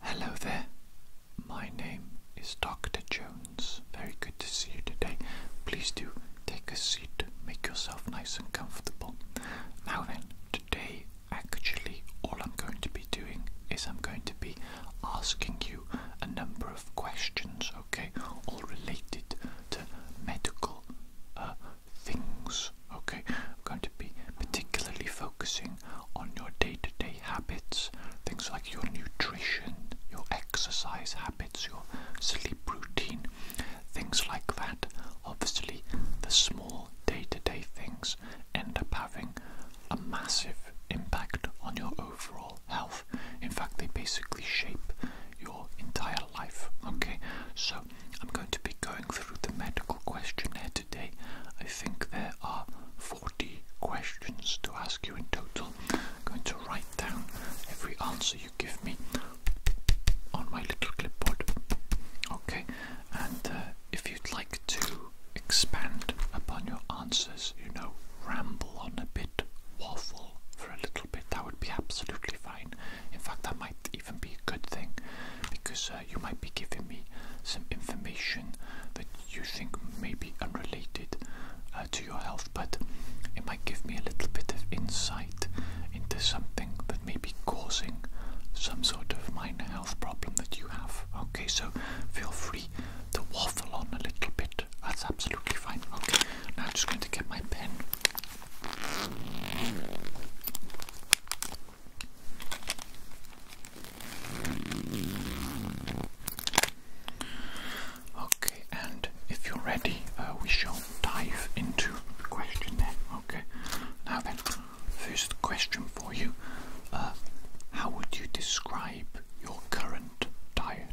Hello there, my name is Dr. Jones. Very good to see you today. Please do take a seat, make yourself nice and comfortable. Now then, today actually, all I'm going to be doing is I'm going to be asking you a number of questions, okay, all related to medical uh, things, okay. I'm going to be particularly focusing on your day to day habits, things like your nutrition, your exercise habits, your sleep routine, things like that. Obviously, the small day to day things end up having a massive impact on your overall health. In fact, they basically shape your entire life. Okay, so I'm going to be going through through the medical questionnaire today. I think there are 40 questions to ask you in total. I'm going to write down every answer you give me on my little clipboard. Okay, and uh, if you'd like to expand upon your answers, you know, ramble on a bit, waffle for a little bit, that would be absolutely fine. In fact, that might even be a good thing because uh, you might be giving me some information that you think may be unrelated uh, to your health, but it might give me a little bit of insight into something that may be causing some sort of minor health problem that you have. Okay, so feel free to waffle on a little bit. That's absolutely fine. Okay, now I'm just going to get my pen. Okay, and if you're ready, uh, we shall dive into the question Okay, now then, first question for you uh, How would you describe your current diet?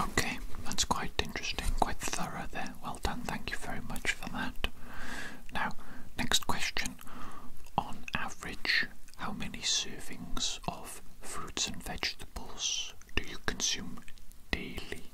Okay, that's quite interesting, quite thorough there. Well done, thank you very much for that. Now, next question. On average, how many servings of fruits and vegetables do you consume daily?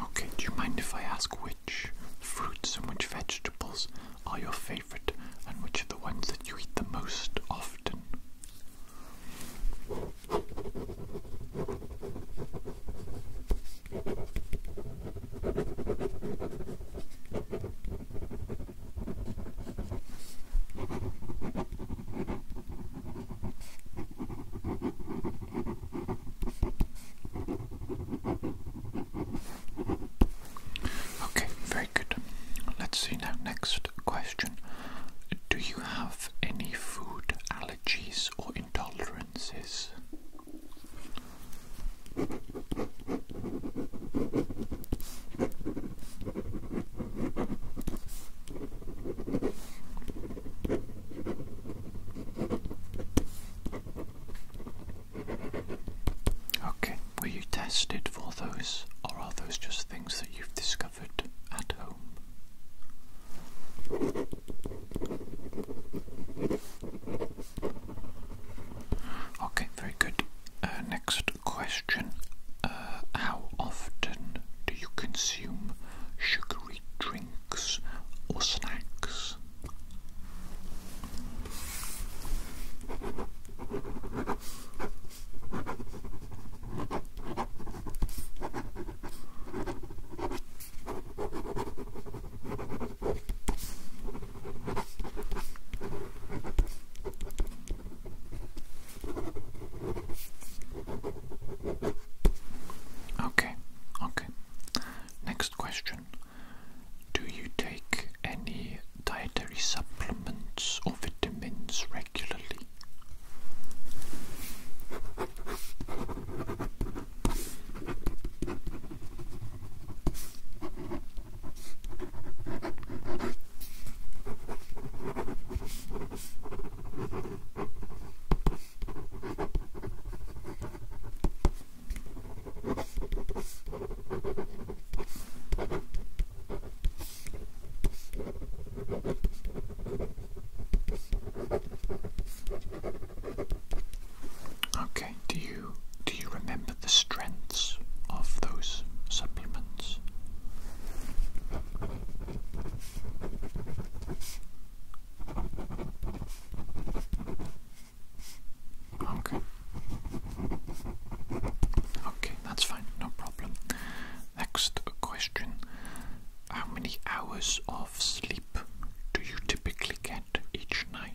Okay, do you mind if I ask which fruits and which vegetables are your favorite? and which are the ones that you eat the most often? Okay, very good. Let's see now. Next question. Do you have any food allergies or intolerances? Okay, were you tested for those, or are those just things that you've discovered at home? Okay, very good. Uh, next question uh, How often do you consume sugary drinks or snacks? Okay, okay. Next question. Do you take any dietary supplements or vitamins regularly? Okay, do you do you remember the strengths of those supplements? Okay. Okay that's fine, no problem. Next question How many hours of sleep do you typically get each night?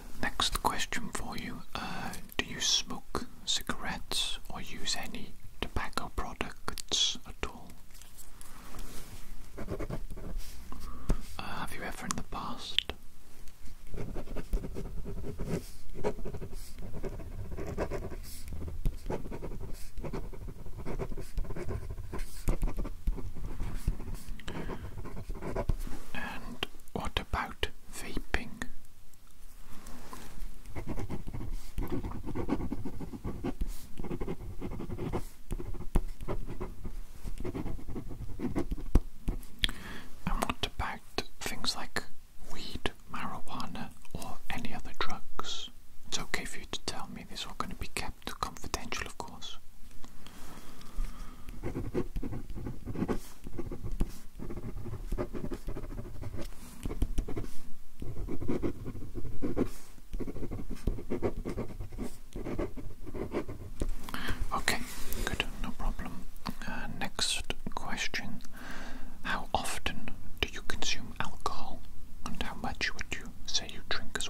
Next question for you. Uh, do you smoke cigarettes or use any tobacco products at all? Uh, have you ever in the past? And what about about vaping. And what about things like weed, marijuana, or any other drugs? It's okay for you to tell me, This are all going to be kept confidential, of course. Okay, good, no problem. Uh, next question How often do you consume alcohol, and how much would you say you drink as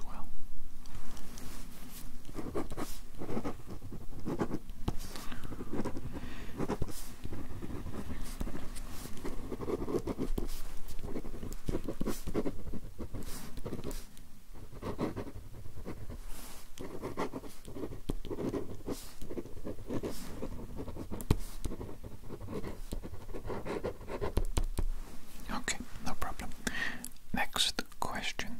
well? Okay, no problem. Next question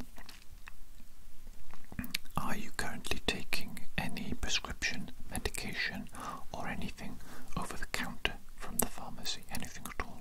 are you currently taking any prescription medication or anything over the counter from the pharmacy? Anything at all?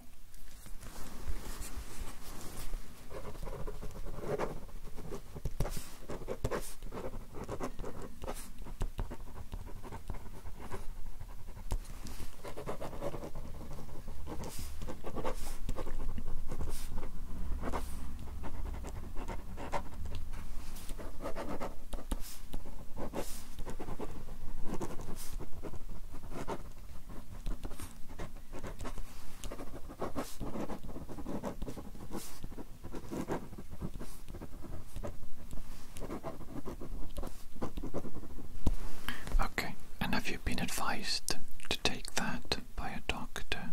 Okay, and have you been advised to take that by a doctor?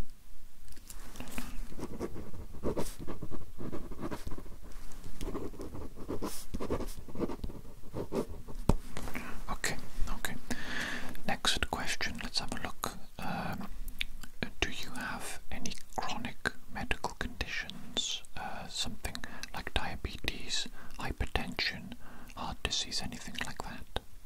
Okay, okay. Next question, let's have a look. Um, do you have any chronic medical conditions? Uh, something like diabetes, hypertension, heart disease, anything like that?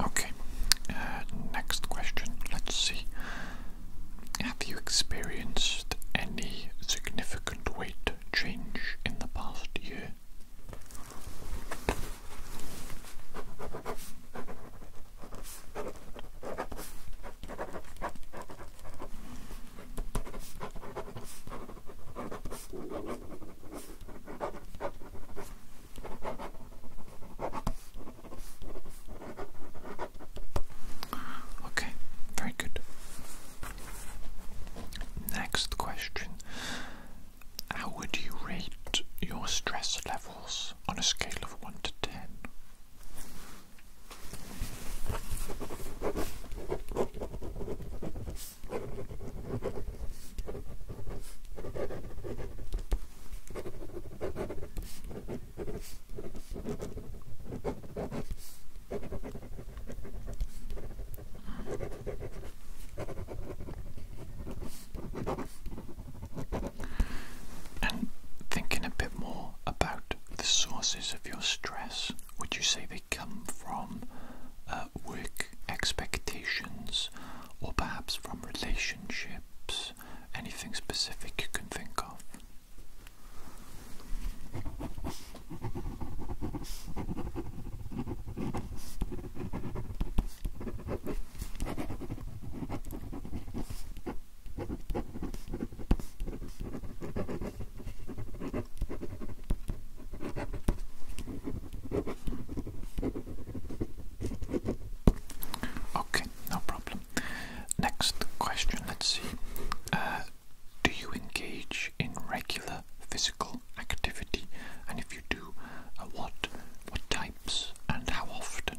Okay, uh, next question. Let's see. Have you experienced any significant weight change in the past year? Okay, very good. Next question How would you rate your stress levels on a scale of 1 to 10? And thinking a bit more about the sources of your stress, would you say they come from uh, work expectations? or perhaps from relationships? Anything specific you can think of? Okay, no problem. Next question, let's see. Uh, do you engage in regular physical activity? And if you do, uh, what what types and how often?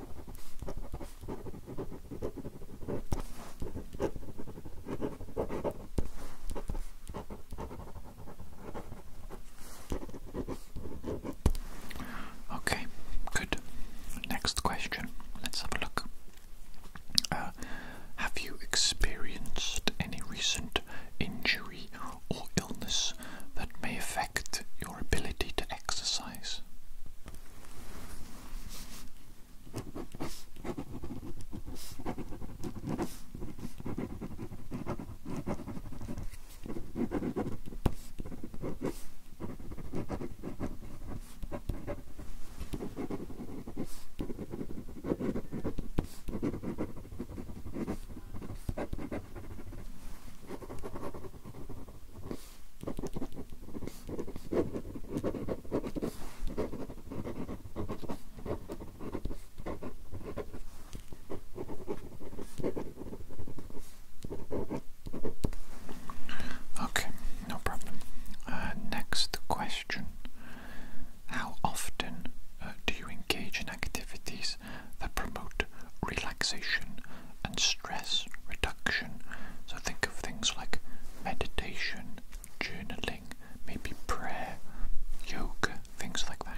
Okay, good. Next question. Let's have a look. Uh, have you experienced any recent injury or illness that may affect your ability to exercise. Okay, no problem. Uh, next question How often uh, do you engage in activities that promote relaxation and stress reduction. So think of things like meditation, journaling, maybe prayer, yoga, things like that.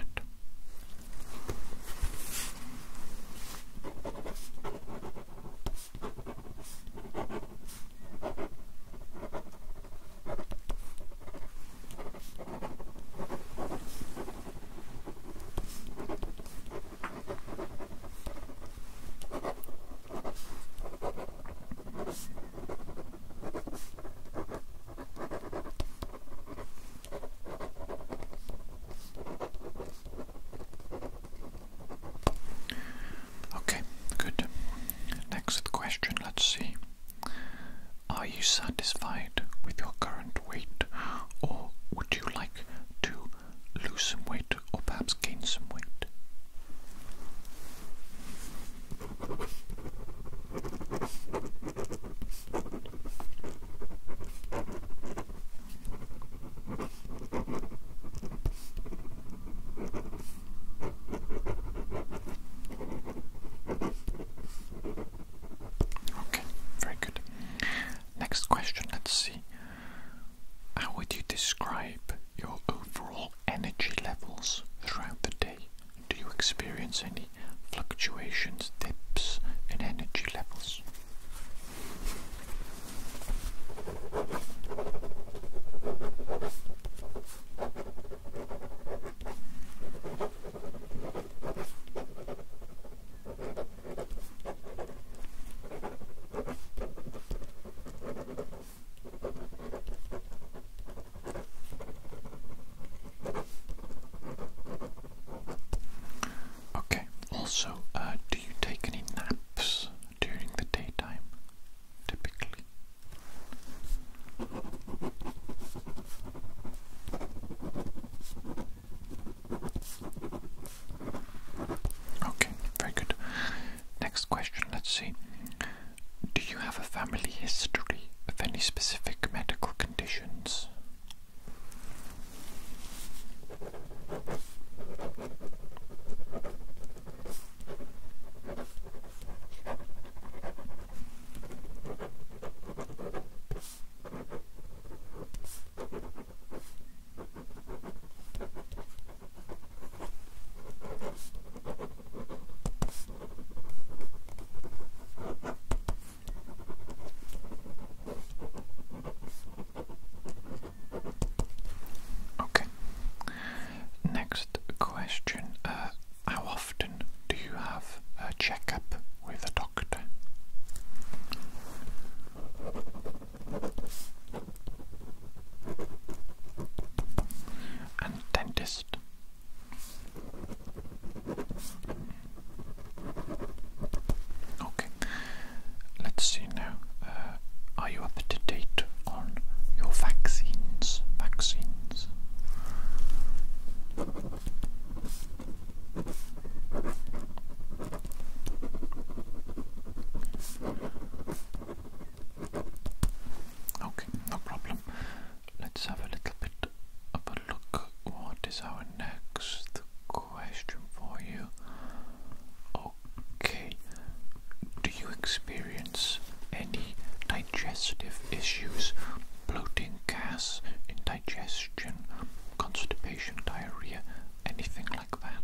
Okay, good. Next question, let's see. Are you satisfied with your current weight or would you like to lose some weight or perhaps gain some weight. Okay, very good. Next question, let's see. How would you describe your overall energy levels throughout the day? Do you experience any fluctuations, dips in energy levels? Okay, also, uh, do you take any naps during the daytime typically? Okay, very good. Next question, let's see. Do you have a family history of any specific medical conditions? Okay. Next question. Uh, how often do you have a checkup with a doctor? and dentist. Okay, let's see now. Uh, are you up to date on your vaccines? Vaccines. Okay, no problem. Let's have a little bit of a look. What is our next question for you? Okay, do you experience any digestive issues? Bloating, gas, indigestion, constipation, diarrhea, anything like that.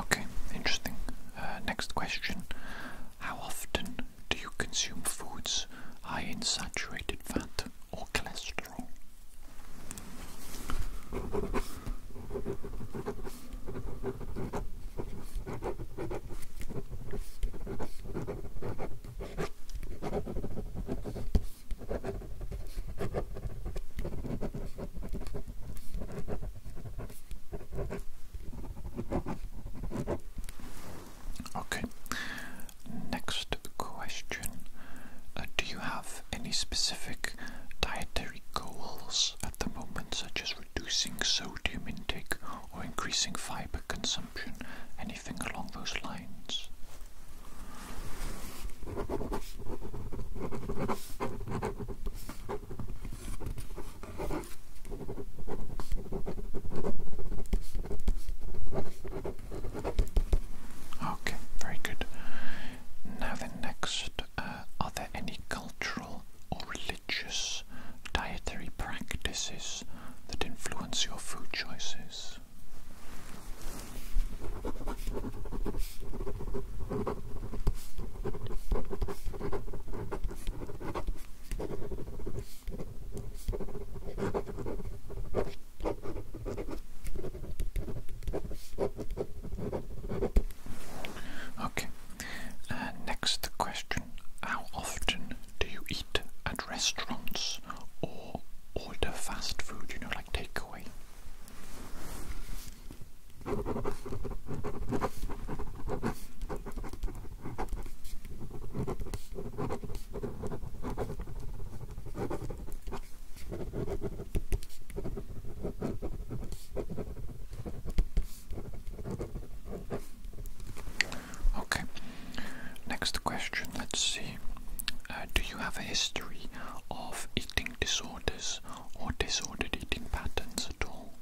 Okay, interesting. Uh, next question. How often do you consume foods high in saturated fat or cholesterol? Okay. Next question. Uh, do you have any specific dietary goals at the moment, such as reducing sodium intake or increasing fiber consumption? Anything along those lines? Okay, very good. Now, the next, uh, are there any cultural or religious dietary practices that influence your food choices? Okay, uh, next question. How often do you eat at restaurants or order fast food, you know, like takeaway? Okay, next question. Let's see. Uh, do you have a history of eating disorders or disordered eating patterns at all?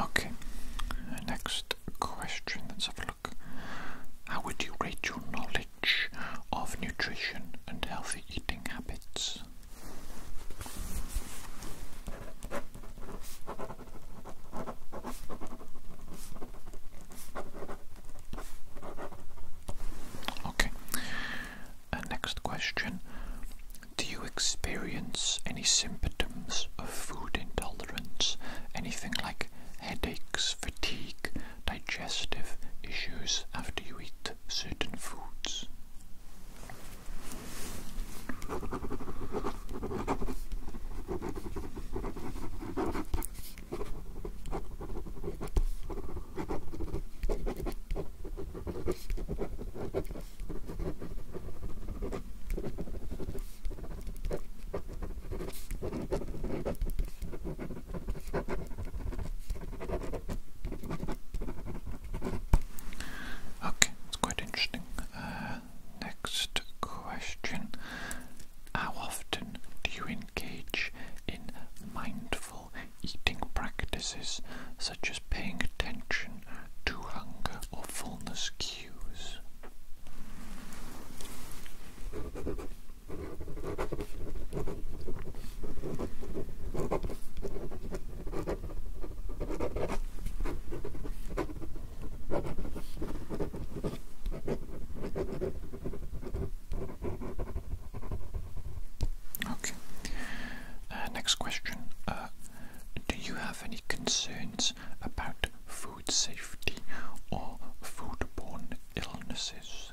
Okay, next question. Let's have a look. How would you rate your knowledge of nutrition and healthy eating habits. Okay, uh, next question. Do you experience any symptoms of food intolerance? Anything like headaches, fatigue, digestive issues after you eat certain foods. Okay, it's quite interesting. Uh, next question How often do you engage in mindful eating practices such as paying attention to hunger or fullness cues? Okay. Uh, next question. Uh, do you have any concerns about food safety or foodborne illnesses?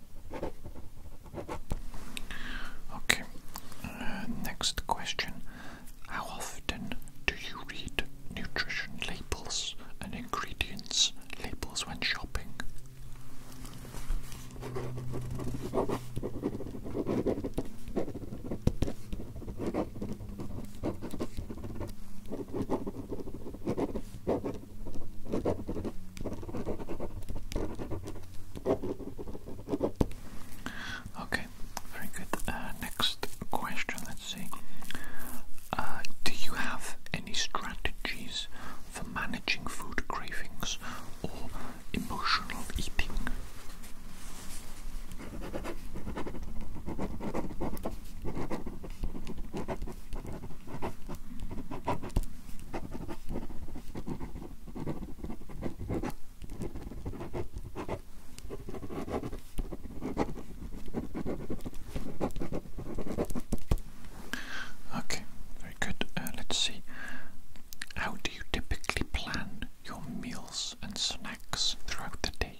Okay, uh, next question. How often do you read nutrition labels and ingredients labels when shopping? Okay, very good. Uh, next question, let's see. Uh, do you have any strategies for managing food cravings or emotional eating? Okay, very good. Uh, let's see. How do you typically plan your meals and snacks throughout the day?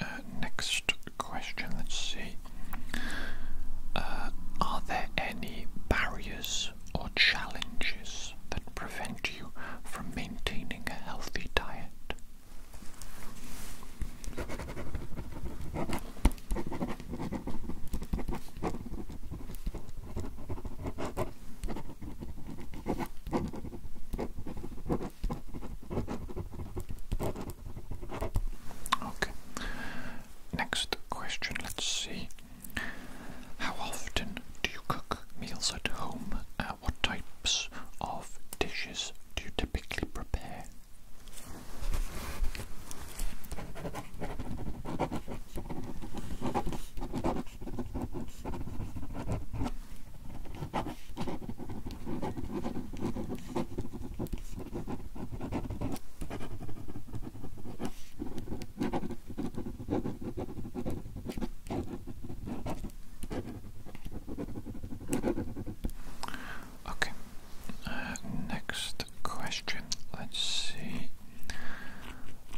Uh, next question. Let's see. Uh, are there any barriers or challenges that prevent you from maintaining a healthy diet? Okay. Next question, let's see. How often do you cook meals at home? Uh, what types of dishes do you typically prepare? Okay, uh, next question. Let's see.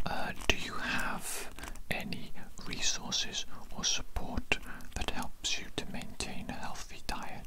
Uh, do you have any resources or support that helps you to maintain a healthy diet?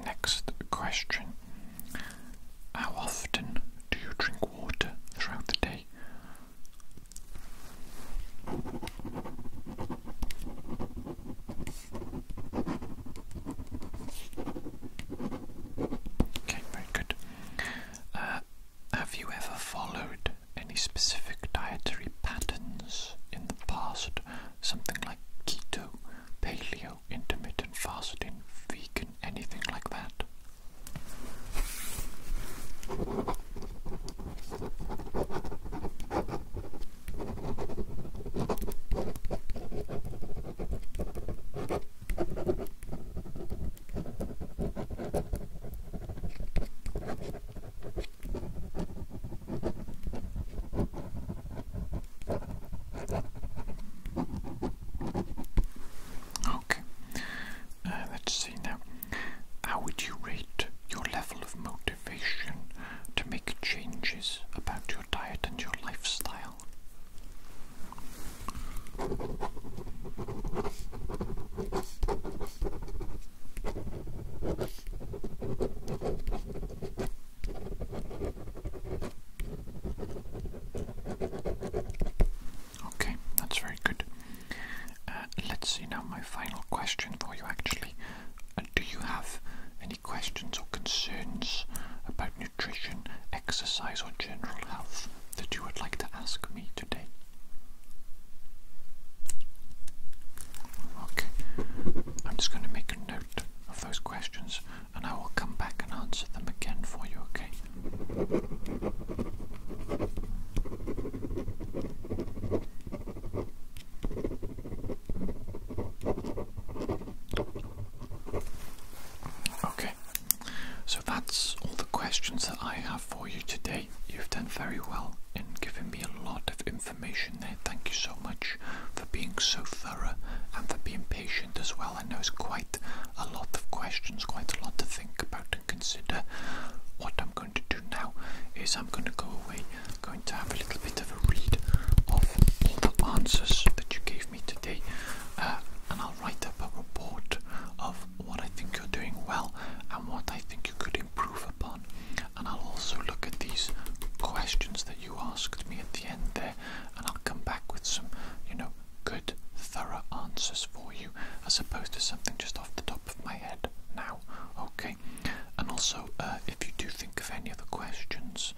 Next question How often do you drink water throughout the day? Okay, very good. Uh, have you ever followed any specific dietary patterns in the past something like keto, paleo, intermittent fasting, vegan, anything like that? Okay, uh, let's see now. How would you rate your level of motivation to make changes about your diet and your lifestyle? Okay, that's very good. Uh, let's see now my final question for you actually. Uh, do you have any questions or concerns about nutrition, exercise, or general health that you would like to ask me today? Okay, I'm just going to make a note of those questions and I will come back and answer them again for you, okay? Okay, so that's all the questions that I have for you today. You've done very well in giving me a lot of information Thank you so much for being so thorough and for being patient as well. I know it's quite a lot of questions, quite a lot to think about and consider. What I'm going to do now is I'm going to go away, going to have a little bit of a read of all the answers that you gave me today, uh, and I'll write up a report of what I think you're doing well and what I think you could improve upon and I'll also look at these questions that you asked me at the end there, and I'll come back with some, you know, good, thorough answers for you as opposed to something just off the top of my head now, okay? And also, uh, if you do think of any other questions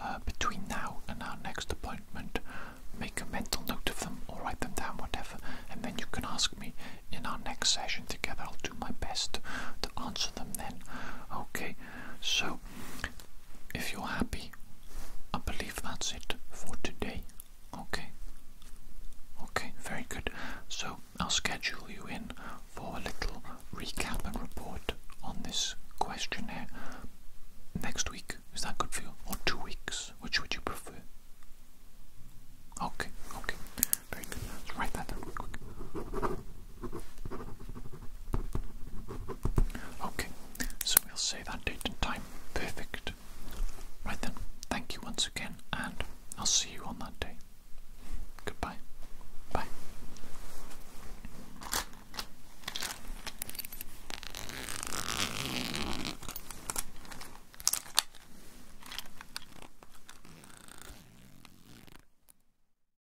uh, between now and our next appointment, make a mental note of them or write them down, whatever, and then you can ask me in our next session together. I'll do my best to answer them then. Okay, so, if you're happy, I believe that's it for today. Okay. Okay, very good. So, I'll schedule you in for a little recap and report on this questionnaire next week. Is that good for you? Or two weeks? Which would you prefer? Okay, okay. Very good. write that down quick. Okay, so we'll say that date and time. Perfect. Right then, thank you once again, and I'll see you on that day. Goodbye. Bye.